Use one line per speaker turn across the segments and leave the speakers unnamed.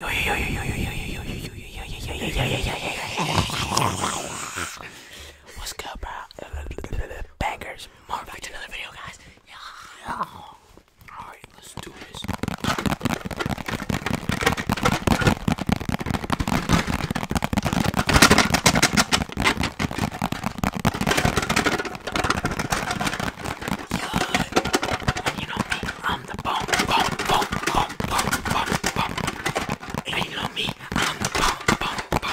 What's up, bro? Bangers. More back to another video, guys. Alright, let's do this. And you know me, I'm the bomb, bomb, bomb, bomb, bomb, bomb, you know me, I'm the bomb, bomb, bomb.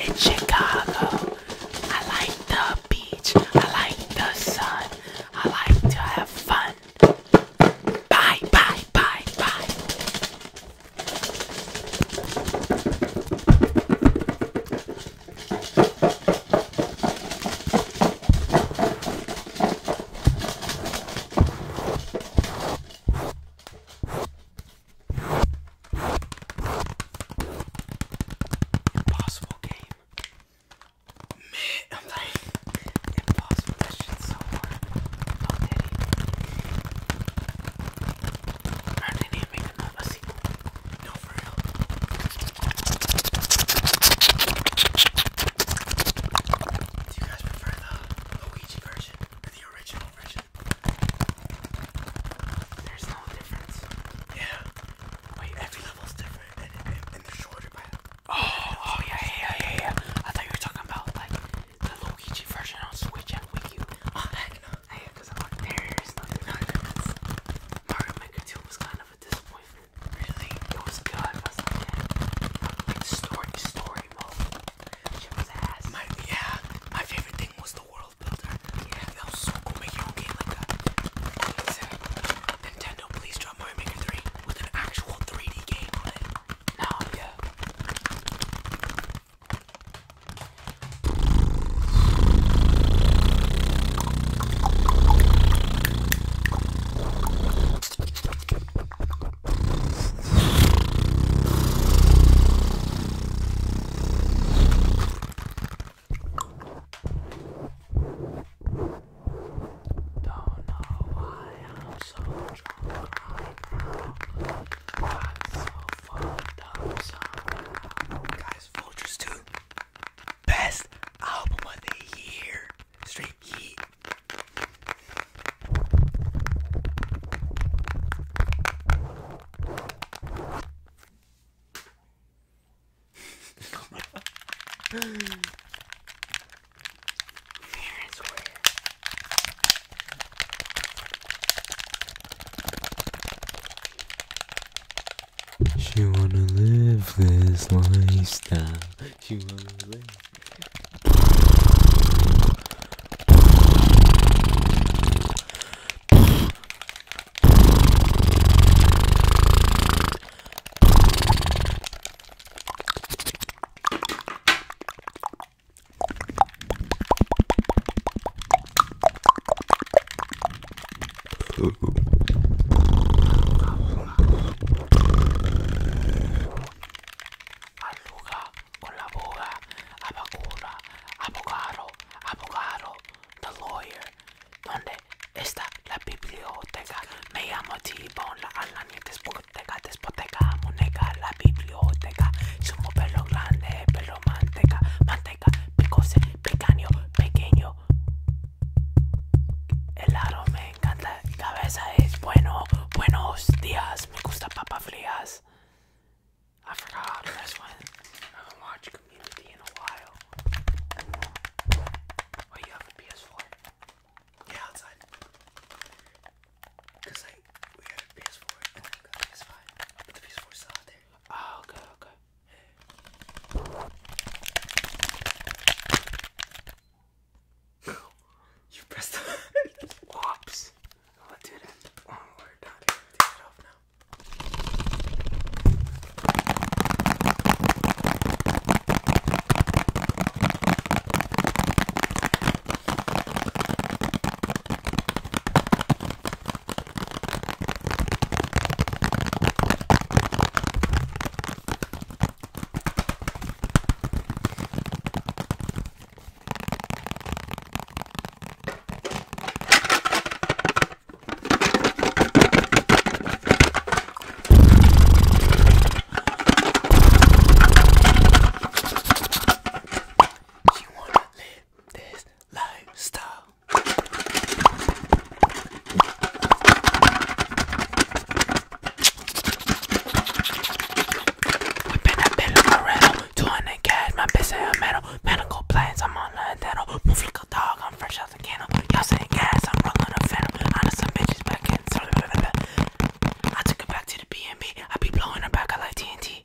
In Chicago, I like the beach, I like the sun, I like to have fun. Bye, bye, bye, bye. Impossible game. Man, I'm like, impossible. That shit's so hard. Oh, Daddy. Or didn't even make another sequel. No, for real. Do you guys prefer the Luigi version or the original version? There's no difference. Yeah. Wait, every level's different and, and, they're shorter by Oh, oh yeah, yeah, yeah, yeah. I thought you were talking about like the Luigi version on Switch and Wii U. Oh, heck I'm like, there is no difference. Mario Maker 2 was kind of a disappointment. Really, it was good, wasn't it? It's story, story She was ass. My, yeah, my favorite thing was the world builder. Yeah, that was so cool. Make your own game like that. Nintendo, please drop Mario 3 with an actual 3D game Now, oh, yeah. Don't know why I'm so drunk I'm so fucked up Guys, vultures too best album of the year. Straight heat. Fair and she wanna live this lifestyle. She wanna live. Aluga con la boga, abogado, abogado, the lawyer. ¿Dónde está la biblioteca? Me llamo T-Bone, la alaña despoteca, despoteca, muñeca, la biblioteca. Sumo pelo grande, pelo manteca, manteca, picose, pequeño, pequeño, El aro me encanta. Cabeza es bueno. Buenos días. Me gusta papa frías. I forgot this one. I haven't watched Community in a while. Wait, you have a PS4? Yeah, outside. Cause like we got a PS4 and then a PS5, but the PS4's still out there. Oh, okay, okay. you pressed the Whoops. Let's do that. Oh, we're done. Take it off now. You wanna live this lifestyle? Whipping that bit of Moreno, 200 cash, my bitch say a metal. Medical planes, I'm on the dental. Move like a dog, I'm fresh out the candle. Y'all saying gas, I'm rolling a phantom. Honest, some bitches back in. I took her back to the B&B. be blowing her back, I like TNT.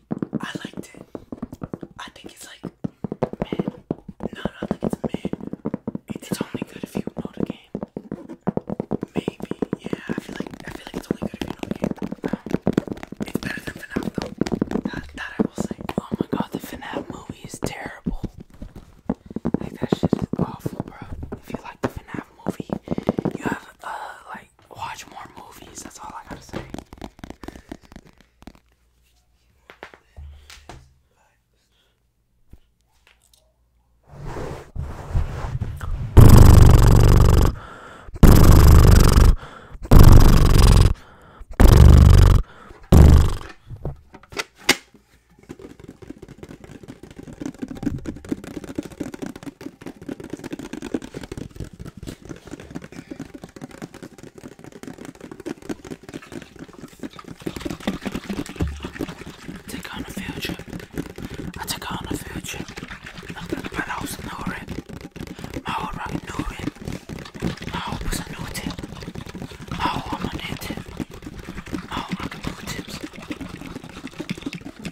I liked it. I think it's like man. No, no, I think it's mid. It's only good if you know the game. Maybe, yeah. I feel like I feel like it's only good if you know the game. Um, it's better than FNAF though. That, that I will say. Oh my god, the FNAF movie is terrible. Like that shit is awful, bro. If you like the FNAF movie, you have uh like watch more movies. That's all I gotta say. Take on a field I took on the future. trip. But I was ignoring. My whole right ignoring. My whole was a new My whole i a new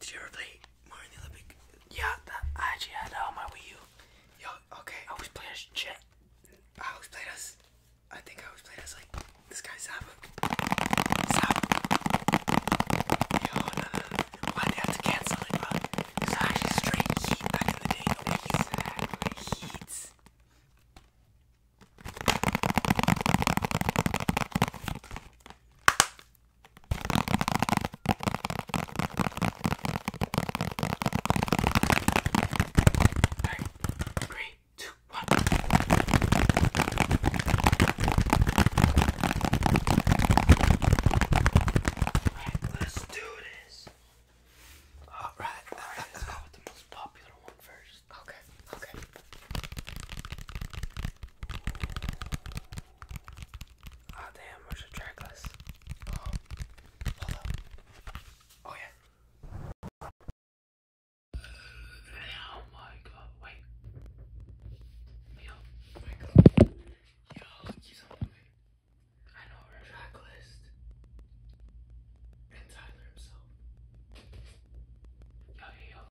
Did you ever play Mario in the Olympic? Yeah, that, I actually had that uh, on my Wii U. Yo, okay. I always played as Jet. I always played as. I think I always played as like this guy Zavok. Zavok. Yo, no, no, no. Why'd they have to cancel it, bro? It's actually straight heat back in the day. No exactly. Heat. Alright, three, two, one. Alright, let's do this. Alright, alright, let's go with the most popular one first. Okay, okay. Oh damn, where's the oh, track Oh, yeah. Oh my god, wait. Yo, oh my god. Yo, he's on the way. And Tyler himself. yo, yo,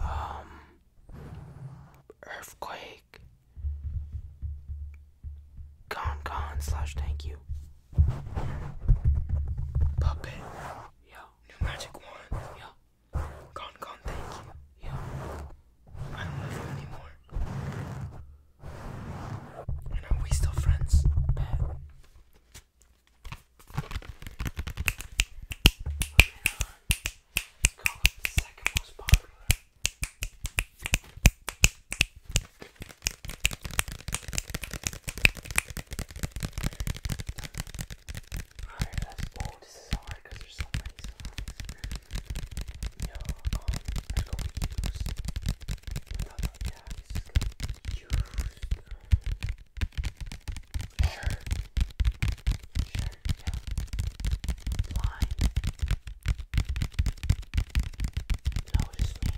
Um, earthquake, con con thank you, puppet, yeah, new magic wand, yeah, con con thank you, yeah, I don't love you anymore, and are we still friends? Bad. Moving on, let's call it the second most popular. Alright, that's oh, this is hard because there's so many songs. Yo, um, I'm going to use another, yeah, this is good. Use, uh, Sure. Sure, yeah. Notice me.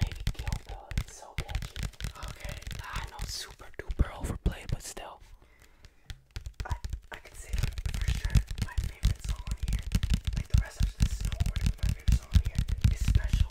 Maybe Kill Bill. It's so catchy. Okay. I know super duper overplayed, but still. I I can say for sure my favorite song here. Like the rest of the snowboarding, my favorite song here is special.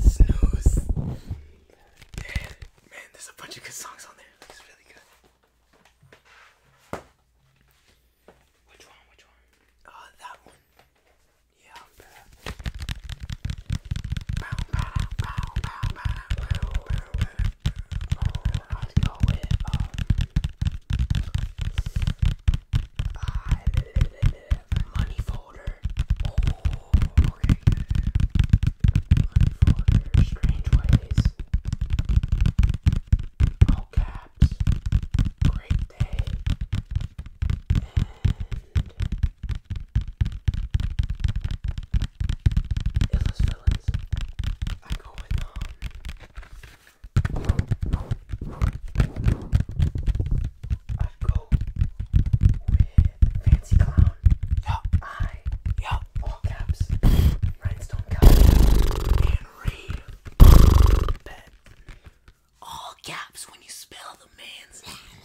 Snooze. Man, there's a bunch of good songs on there. It's really good. Which one? Which one? Uh, that one. Yeah, uh, money folder. Oh, okay. Money folder, strange ways. All caps. Great day. And illest villains. I go with um i go with Fancy Clown. Yup. Yup. All caps. Rhinestone cap. All caps when you spell the man's name.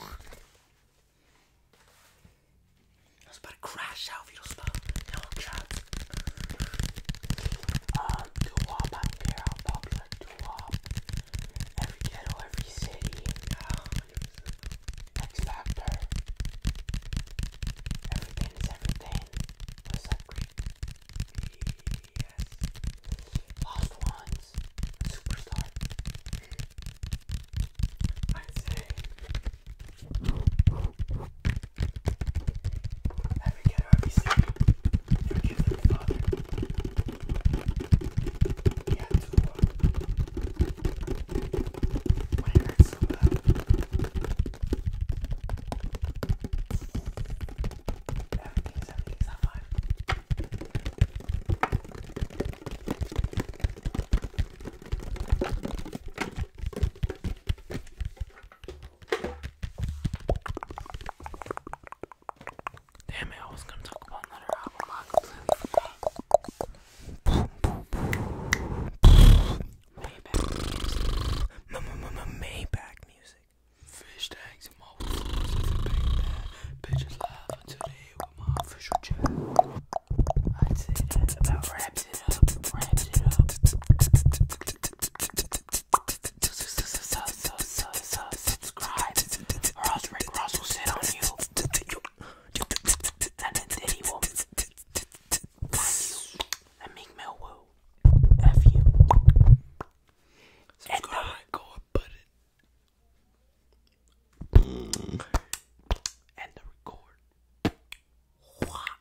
I was about to crash out if you don't spell all caps. Um, doo-wop, I don't care how popular doo-wop. Every ghetto, every city. X Factor. Everything is everything. Yes. Lost Ones. Superstar. I'd say and we can already sleep. Forgive them, Father. We had to walk. When it hurts so bad. Everything's, everything's not fine. Damn it, I was gonna talk about another album. I completely forgot. Maybach music. No, no, no, no, Maybach music. Fish tags and my wolves with a big bag. my official chat. I'd say that's rap it up, ramp it up. Subscribe, or else Rick Ross will sit on you, and then Diddy will find you, and Meek Mill will f you. And Subscribe, go and button, and the record.